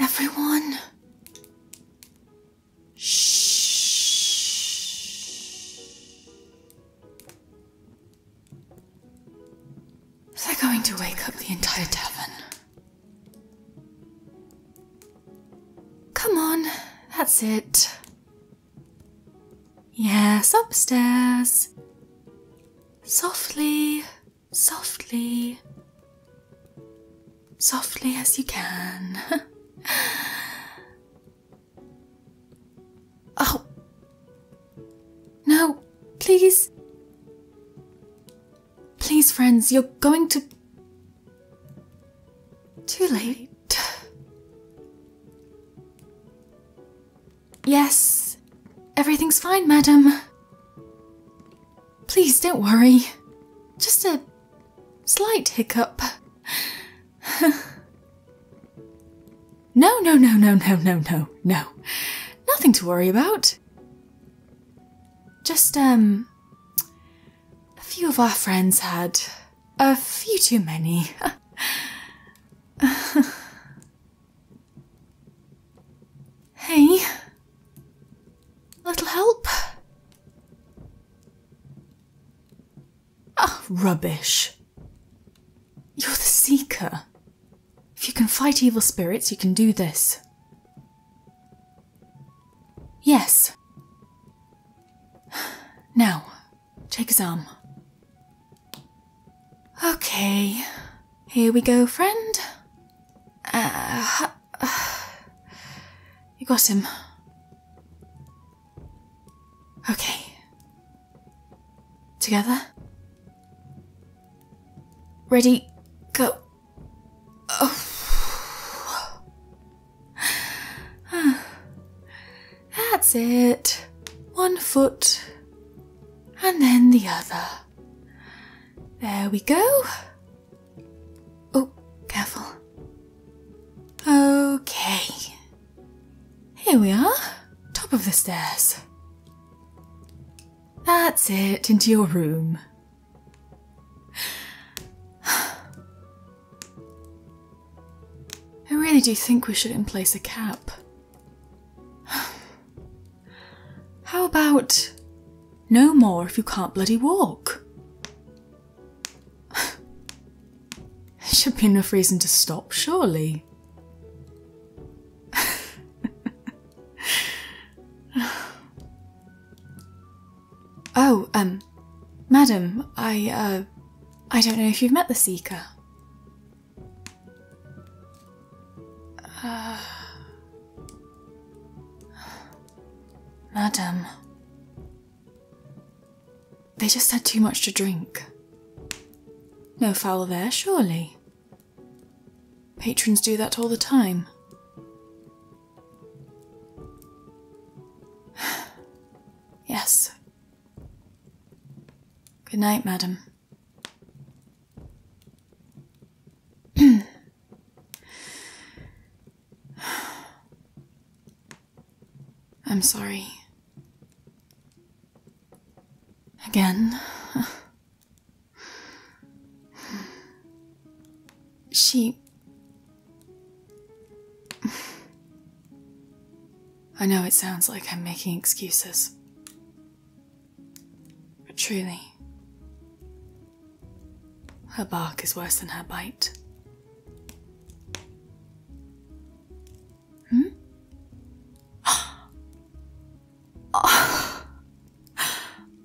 Everyone. Shh. They're going to wake up the entire tavern. Come on, that's it. Yes, upstairs. Softly, softly, softly as you can. oh, no, please. Please, friends, you're going to. Too late. Yes, everything's fine, madam. Please don't worry. Just a slight hiccup. no, no, no, no, no, no, no, no. Nothing to worry about. Just, um, a few of our friends had a few too many. hey, a little help? Ah, oh, rubbish. You're the seeker. If you can fight evil spirits, you can do this. Yes. Now, take his arm. Okay, here we go, friend. Uh, you got him. Okay. Together? Ready, go. Oh. That's it. One foot and then the other. There we go. Oh, careful. Okay. Here we are, top of the stairs. That's it, into your room. I really do think we should place a cap. How about no more if you can't bloody walk? Should be enough reason to stop, surely. oh, um, madam, I, uh, I don't know if you've met the Seeker. Uh, madam. They just had too much to drink. No foul there, surely. Patrons do that all the time. yes. Good night, madam. I'm sorry. Again. She. I know it sounds like I'm making excuses. But truly, her bark is worse than her bite. Hmm? Ah! Ah!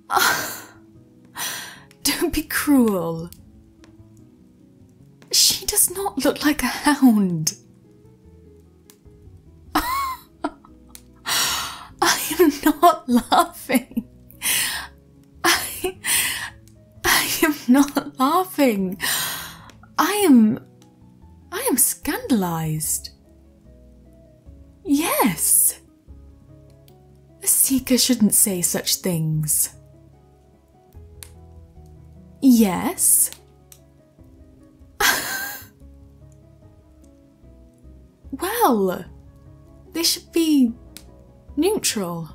Don't be cruel. She does not look like a hound. I am not laughing. I, I am not laughing. I am. I am scandalized. Yes. A seeker shouldn't say such things. Yes? well, they should be neutral,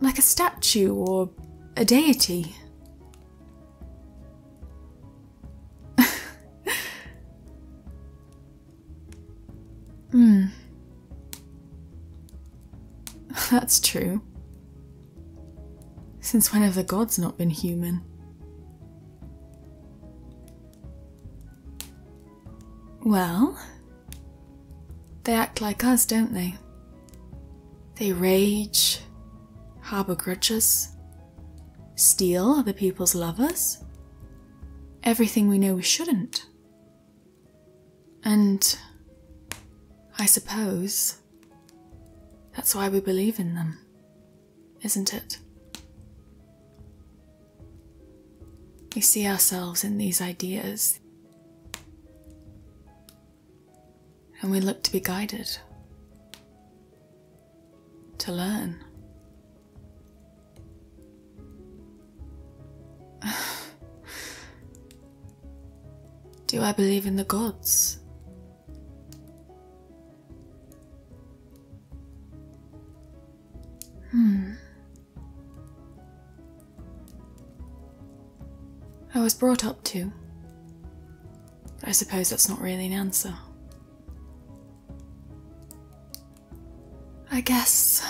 like a statue or a deity. Hmm. That's true. Since when have the gods not been human? Well, they act like us, don't they? They rage, harbour grudges, steal other people's lovers, everything we know we shouldn't. And I suppose that's why we believe in them, isn't it? We see ourselves in these ideas and we look to be guided to learn. Do I believe in the gods? Hmm. I was brought up to, I suppose that's not really an answer. I guess.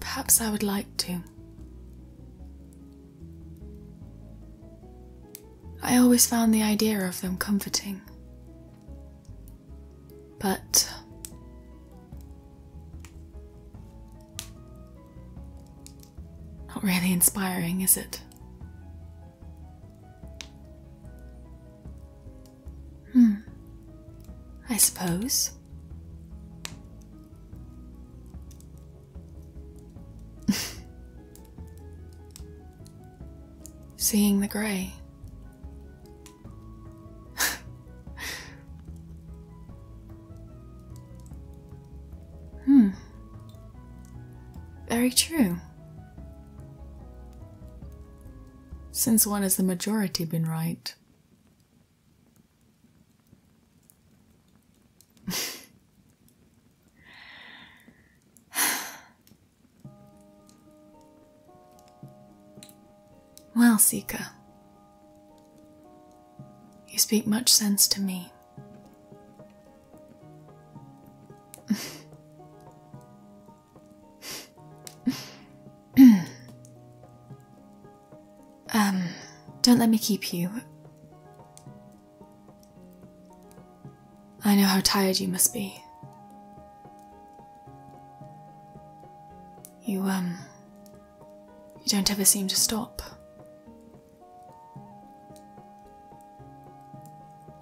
Perhaps I would like to. I always found the idea of them comforting. But. Not really inspiring, is it? Hmm. I suppose. Seeing the grey. hmm. Very true. Since when has the majority been right? well, Seeker, you speak much sense to me. um, don't let me keep you. I know how tired you must be. You, um, you don't ever seem to stop.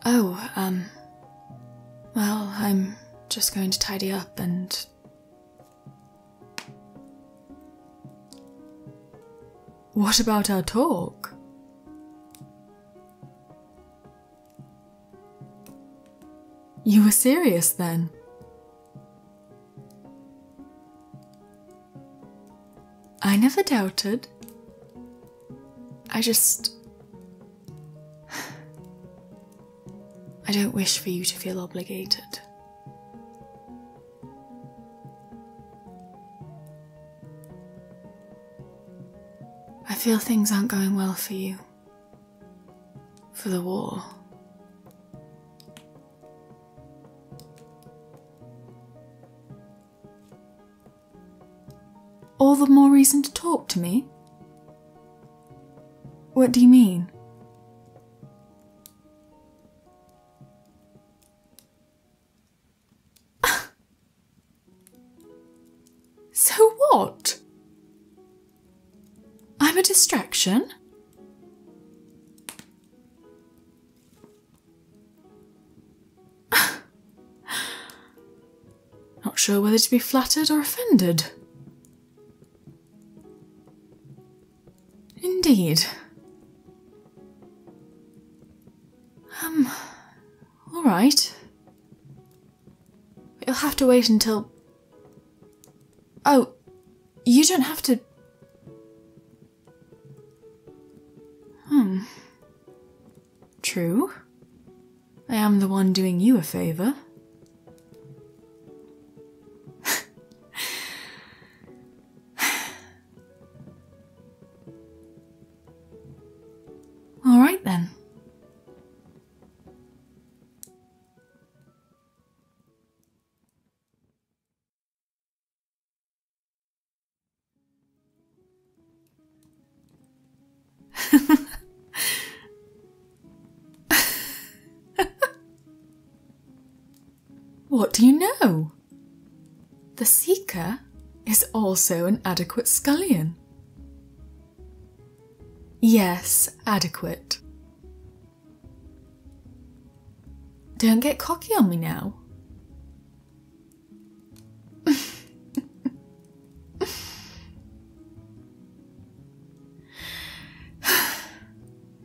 Oh, um. Well, I'm just going to tidy up and. What about our talk? You were serious then? I never doubted. I just. I don't wish for you to feel obligated. I feel things aren't going well for you. For the war. All the more reason to talk to me? What do you mean? so what? I'm a distraction? not sure whether to be flattered or offended. Indeed. Um, alright. You'll have to wait until. Oh, you don't have to. Hmm. True. I am the one doing you a favor. All right then. what do you know? The Seeker is also an adequate scullion. Yes, adequate. Don't get cocky on me now.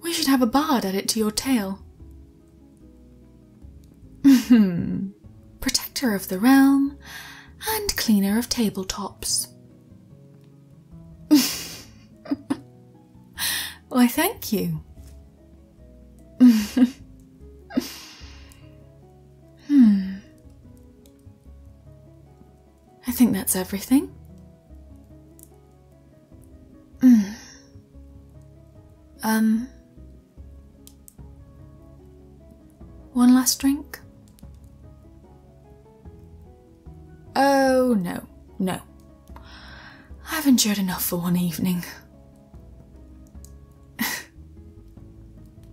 we should have a bard added to your tale. Protector of the realm and cleaner of tabletops. Why, thank you. hmm. I think that's everything. Mm. Um, one last drink? Oh, no, no. I've endured enough for one evening.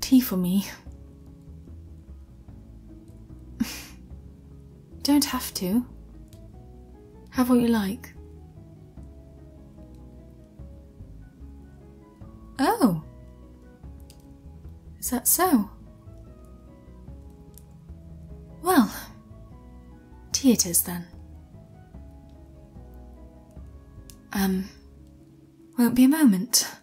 Tea for me. Don't have to. Have what you like. Oh. Is that so? Well, tea it is then. Um, won't be a moment.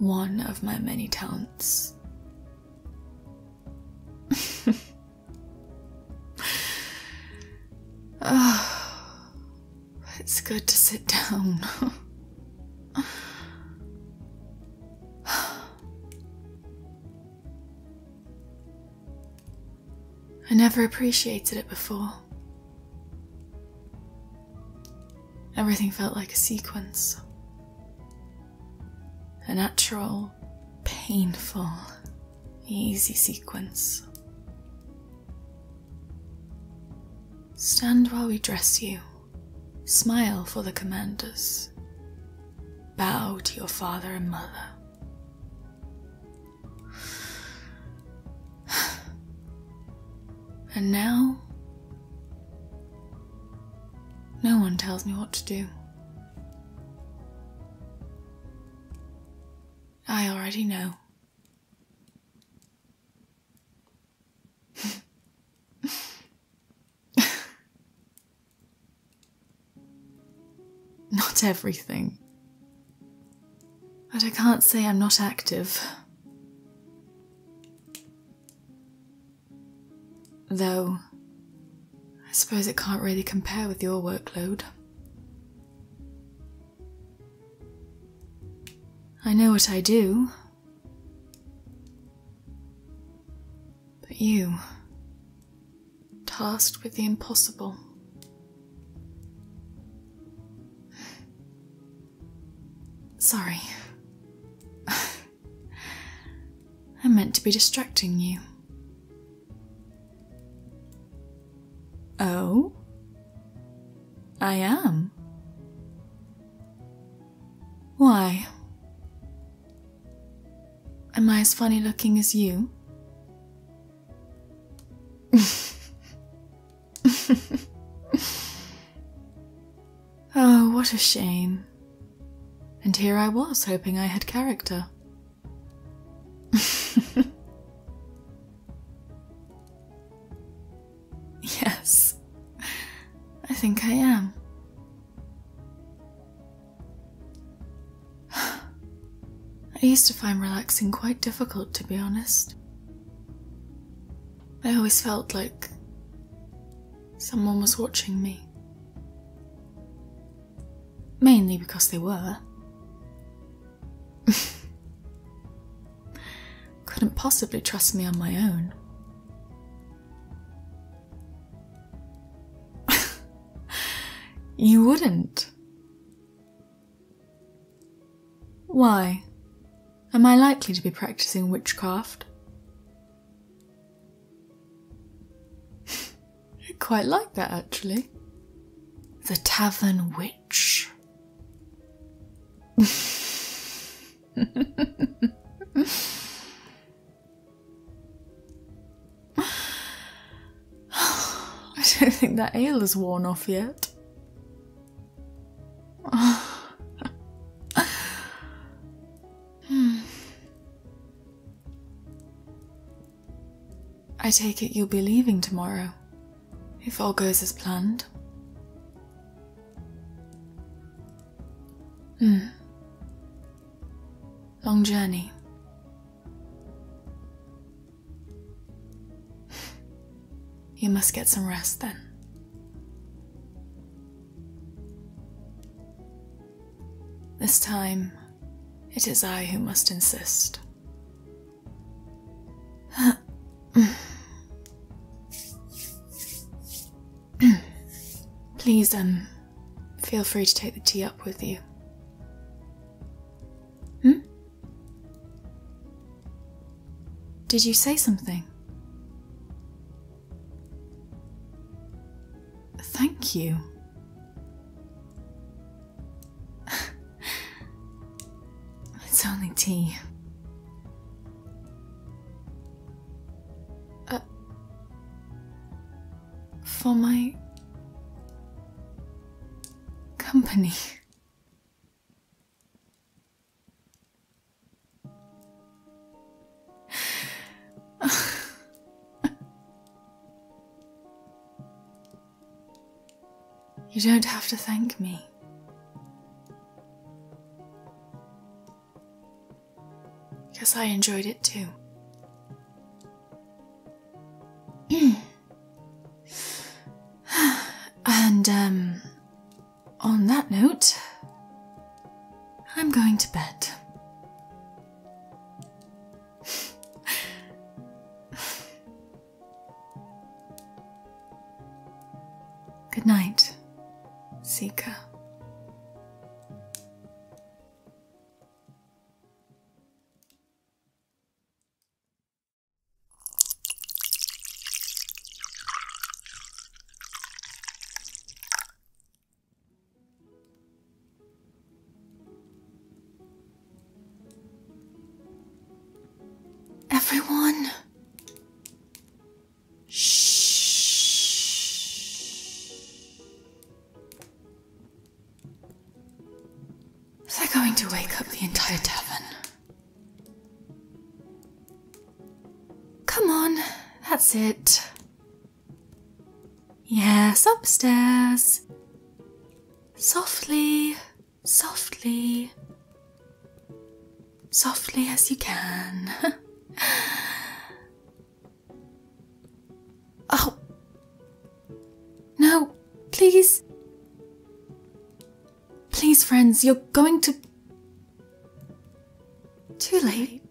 One of my many talents. Oh, it's good to sit down. I never appreciated it before. Everything felt like a sequence. A natural, painful easy sequence. Stand while we dress you, smile for the commanders, bow to your father and mother. And now, no one tells me what to do. I already know. not everything. But I can't say I'm not active. Though, I suppose it can't really compare with your workload. I know what I do. But you, tasked with the impossible. Sorry. I meant to be distracting you. Oh? I am. Why? Am I as funny looking as you? oh, what a shame. And here I was hoping I had character. yes, I think I am. I used to find relaxing quite difficult, to be honest. I always felt like someone was watching me. Mainly because they were. Couldn't possibly trust me on my own. you wouldn't. Why? Am I likely to be practicing witchcraft? I quite like that actually. The Tavern Witch. I don't think that ale has worn off yet. I take it you'll be leaving tomorrow, if all goes as planned. Hmm. Long journey. you must get some rest then. This time, it is I who must insist. Please, um, feel free to take the tea up with you. Hmm? Did you say something? Thank you. it's only tea. Uh, for my company. You don't have to thank me. because I enjoyed it too. and, um, on that note, I'm going to bed. Good night, Seeker. Everyone. Shh. They're going to wake up the entire tavern. Come on, that's it. Yes, upstairs softly, softly, softly as you can. oh, no, please. Please, friends, you're going to. Too late.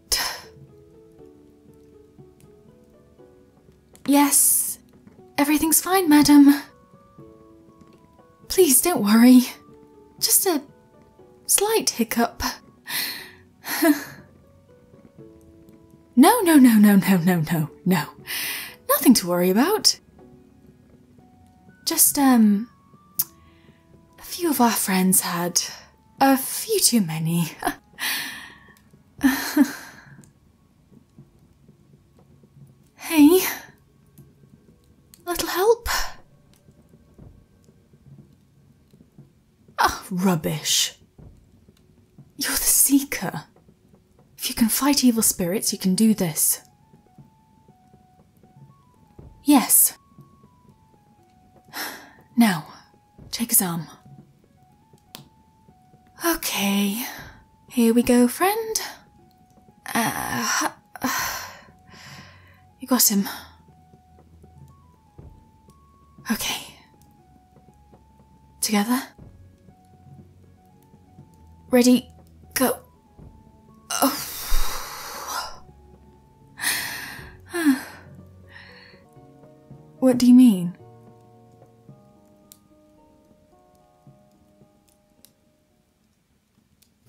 Yes, everything's fine, madam. Please don't worry. Just a slight hiccup. no, no, no, no, no, no, no, no. Nothing to worry about. Just, um, a few of our friends had a few too many. Hey, a little help? Ah, rubbish. You're the Seeker. If you can fight evil spirits, you can do this. Yes. Now, take his arm. Okay, here we go, friend. Uh, you got him. Okay. Together? Ready, go. Oh. what do you mean?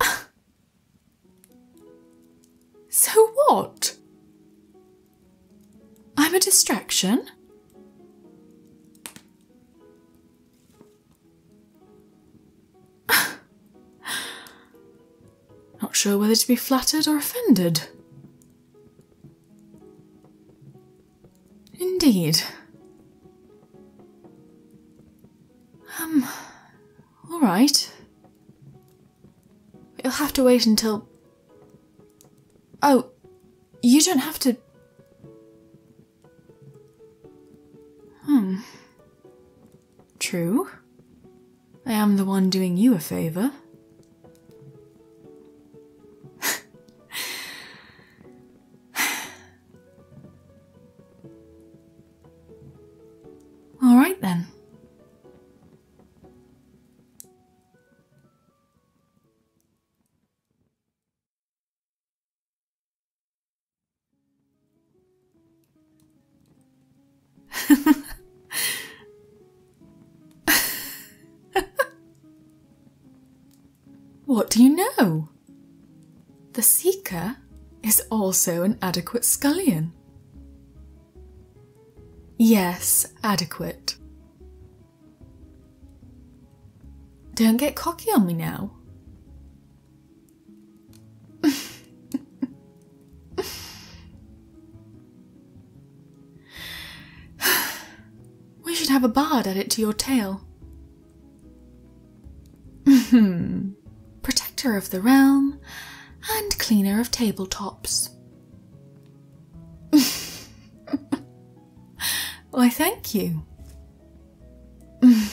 so what? I'm a distraction? Not sure whether to be flattered or offended. Indeed. Um, alright. You'll have to wait until. Oh, you don't have to. Hmm. True. I am the one doing you a favour. All right then. What do you know? The seeker is also an adequate scullion. Yes, adequate. Don't get cocky on me now. We should have a bard added to your tale. Mm-hmm. Protector of the realm and cleaner of tabletops. Why, thank you.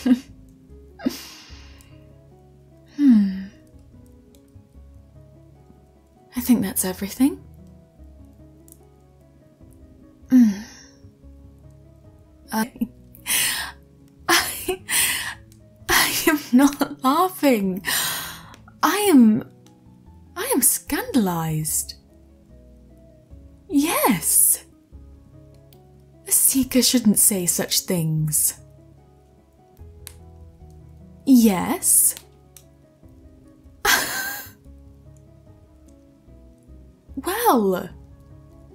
Hmm. I think that's everything. I, I am not laughing. I am, I am scandalized. Yes. A seeker shouldn't say such things. Yes. Well,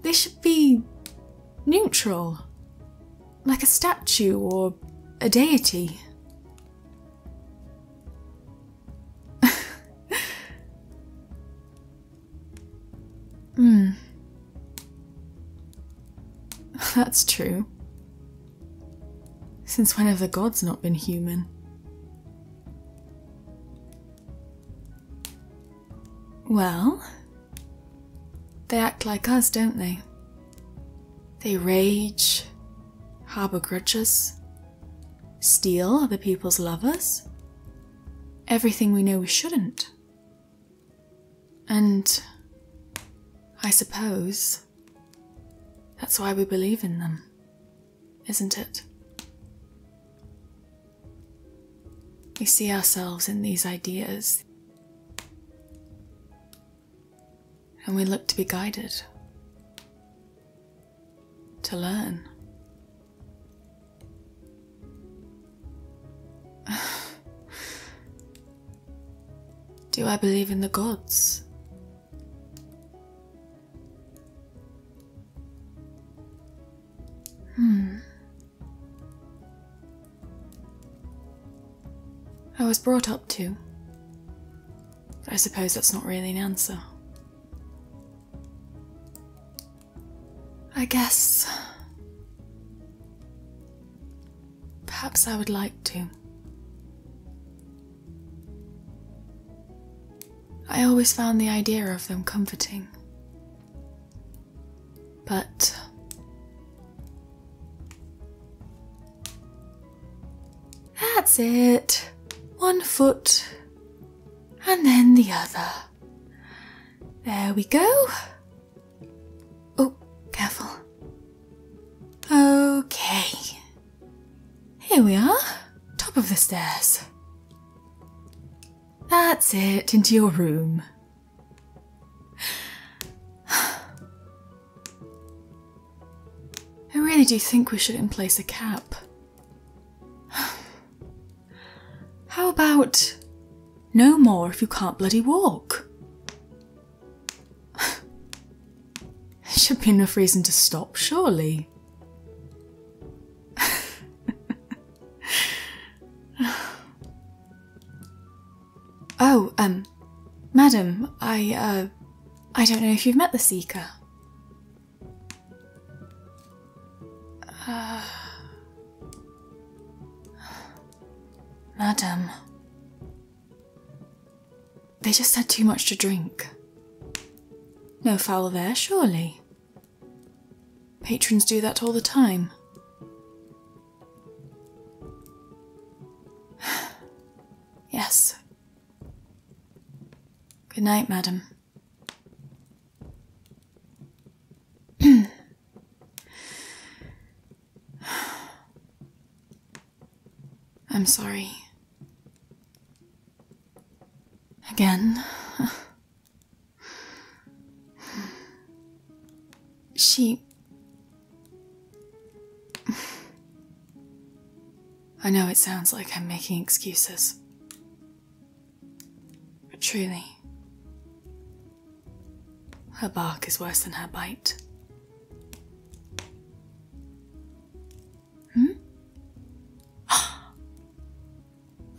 they should be neutral, like a statue or a deity. Hmm. That's true. Since when have the gods not been human? Well, they act like us, don't they? They rage, harbour grudges, steal other people's lovers, everything we know we shouldn't. And I suppose that's why we believe in them isn't it? We see ourselves in these ideas, and we look to be guided, to learn. Do I believe in the gods? Hmm. I was brought up to. I suppose that's not really an answer. I guess. Perhaps I would like to. I always found the idea of them comforting. But that's it. One foot and then the other. There we go. Oh, careful. Okay. Here we are, top of the stairs. That's it, into your room. I really do think we shouldn't a cap. How about no more if you can't bloody walk? There Should be enough reason to stop, surely. oh, um, madam, I, uh, I don't know if you've met the Seeker. madam. They just had too much to drink. No foul there, surely. Patrons do that all the time. yes. Good night, madam. I'm sorry. Again. she. I know it sounds like I'm making excuses. But truly, her bark is worse than her bite. Hmm?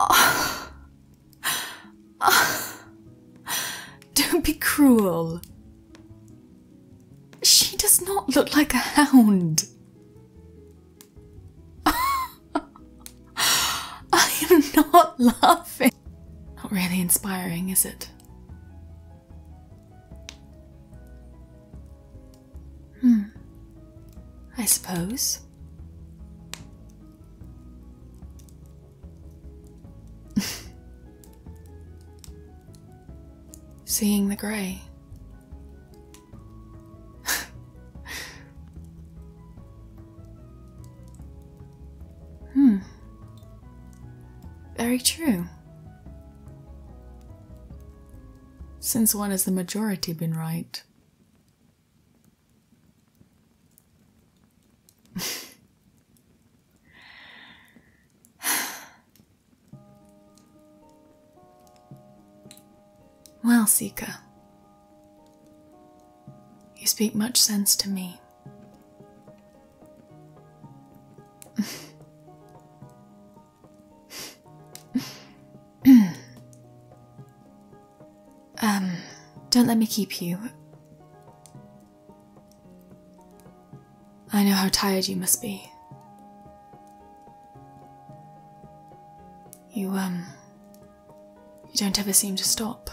Don't be cruel. She does not look like a hound. I am not laughing. Not really inspiring, is it? Hmm. I suppose. Seeing the grey. hmm. Very true. Since when has the majority been right? well, Sika, you speak much sense to me. um, don't let me keep you. I know how tired you must be. You, um, you don't ever seem to stop.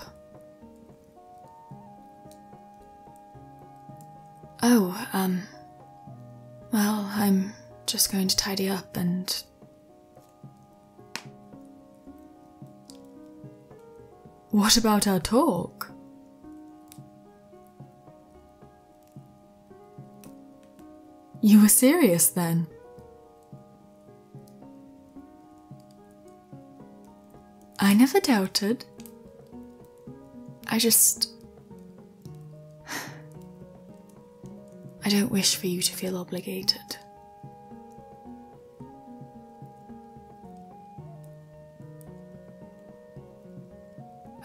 Oh, um, well, I'm just going to tidy up and what about our talk? You were serious then. I never doubted. I just I don't wish for you to feel obligated.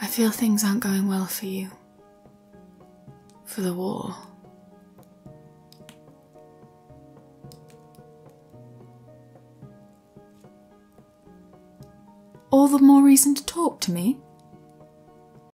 I feel things aren't going well for you. For the war. All the more reason to talk to me.